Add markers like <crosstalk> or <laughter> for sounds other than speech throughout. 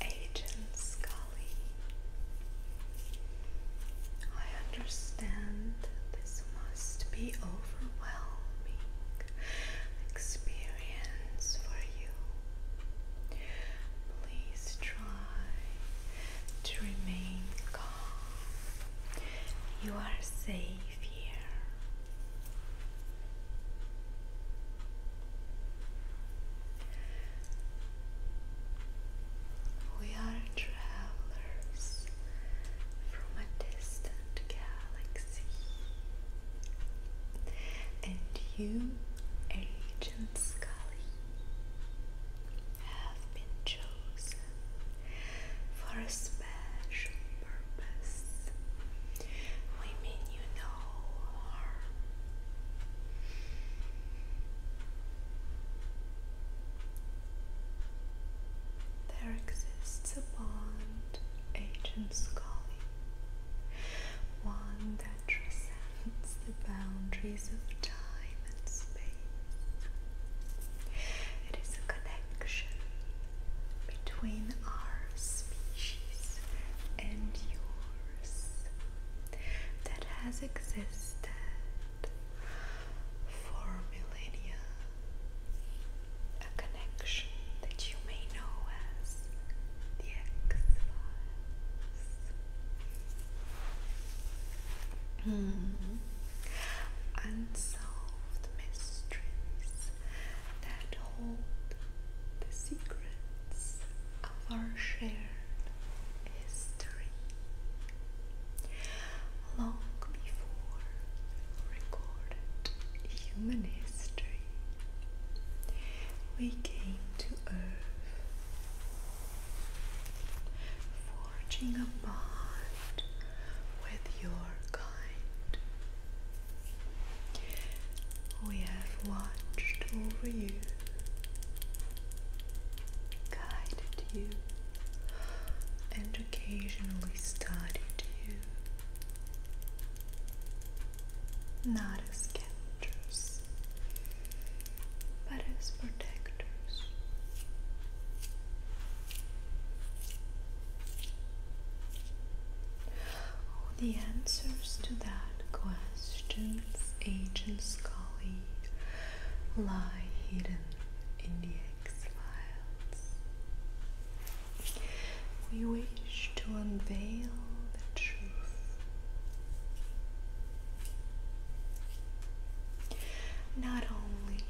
Agent Scully, I understand this must be overwhelming experience for you. Please try to remain calm. You are safe here. We are travelers from a distant galaxy, and you, Agent Scully, have been chosen for a special purpose. We mean you no there exists a bond, Agent Scully, one that transcends the boundaries of time and space. It is a connection between our species and yours that has existed for millennia. A connection that you may know as the X Files. Hmm. Unsolved mysteries that hold the secrets of our shared history. Long before recorded human history, we came to Earth, forging a bond with your kind. We have watched over you, guided you, and occasionally studied you. Not as captors, but as protectors the answers to that questions, ancient Scully, lie hidden in the X-Files. We wish to unveil the truth not only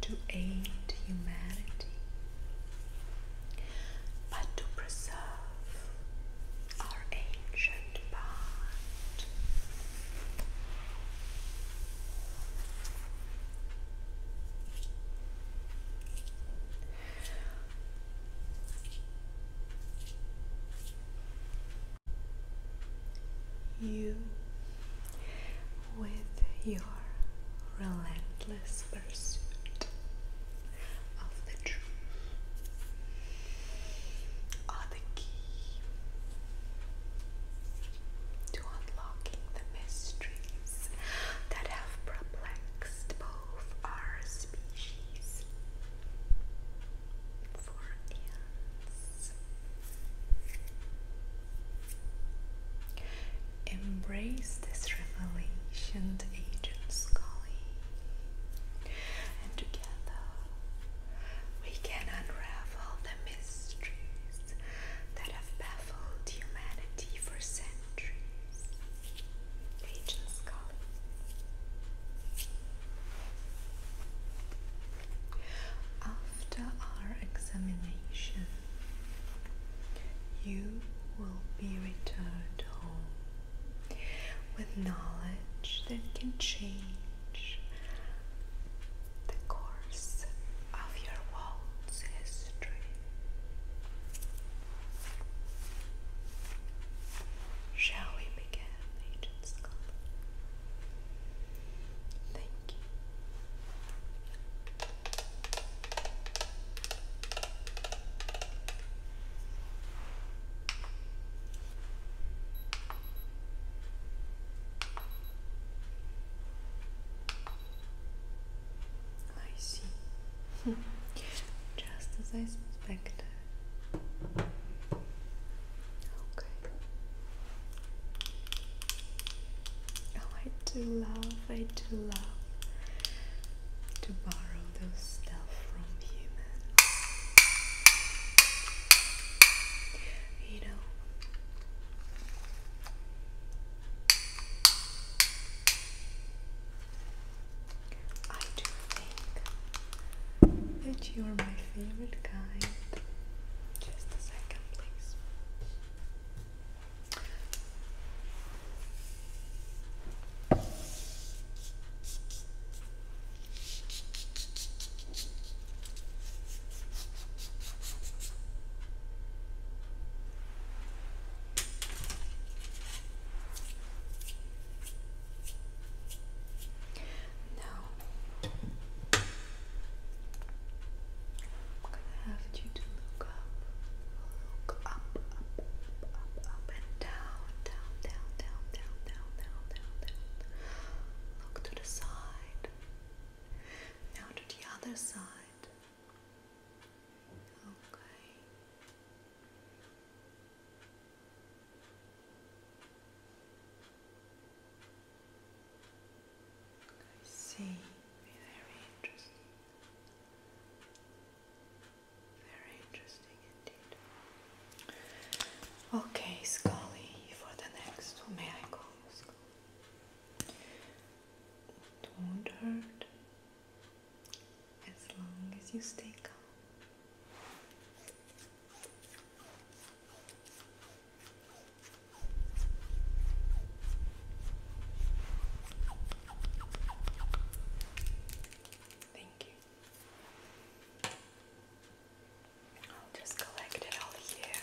to aid humanity, but to preserve our ancient bond. You, with your relentless pursuit of the truth, are the key to unlocking the mysteries that have perplexed both our species. Embrace this revelation, Agent Scully, and together we can unravel the mysteries that have baffled humanity for centuries. Agent Scully. After our examination, you will be returned home with knowledge that can change the course of your world's history. Shall we begin? Agent's Club. Thank you. I see. <laughs> Just as I suspected. Okay. Oh, I do love, I do love to borrow those stuff from humans. You know. I do think that you are my favorite guy. Just a second, please. Now I'm gonna have you to look up, look up, up, up, up, up and down, down, down, down, down, down, down, down. Look to the side. Now to the other side. Okay. I see. Very interesting. Very interesting indeed. Okay, Scully, for the next one, may I call you Scully? Don't hurt as long as you stay calm. Thank you. I'll just collect it all here.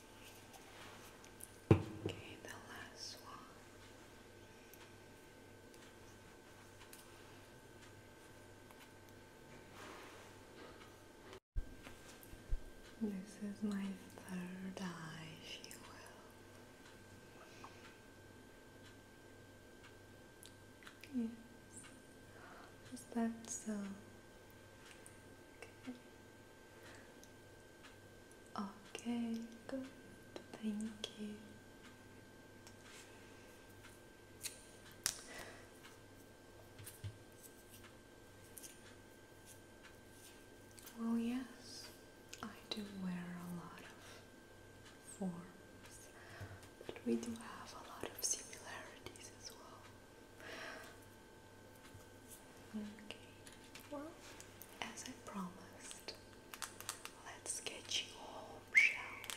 Okay, the last one. This is my third eye, if Is that so? Okay, good. Thank you. Well, yes, I do wear a lot of forms, but we do have a lot of similarities as well. Okay, well, as I promised, let's get you home, shall we?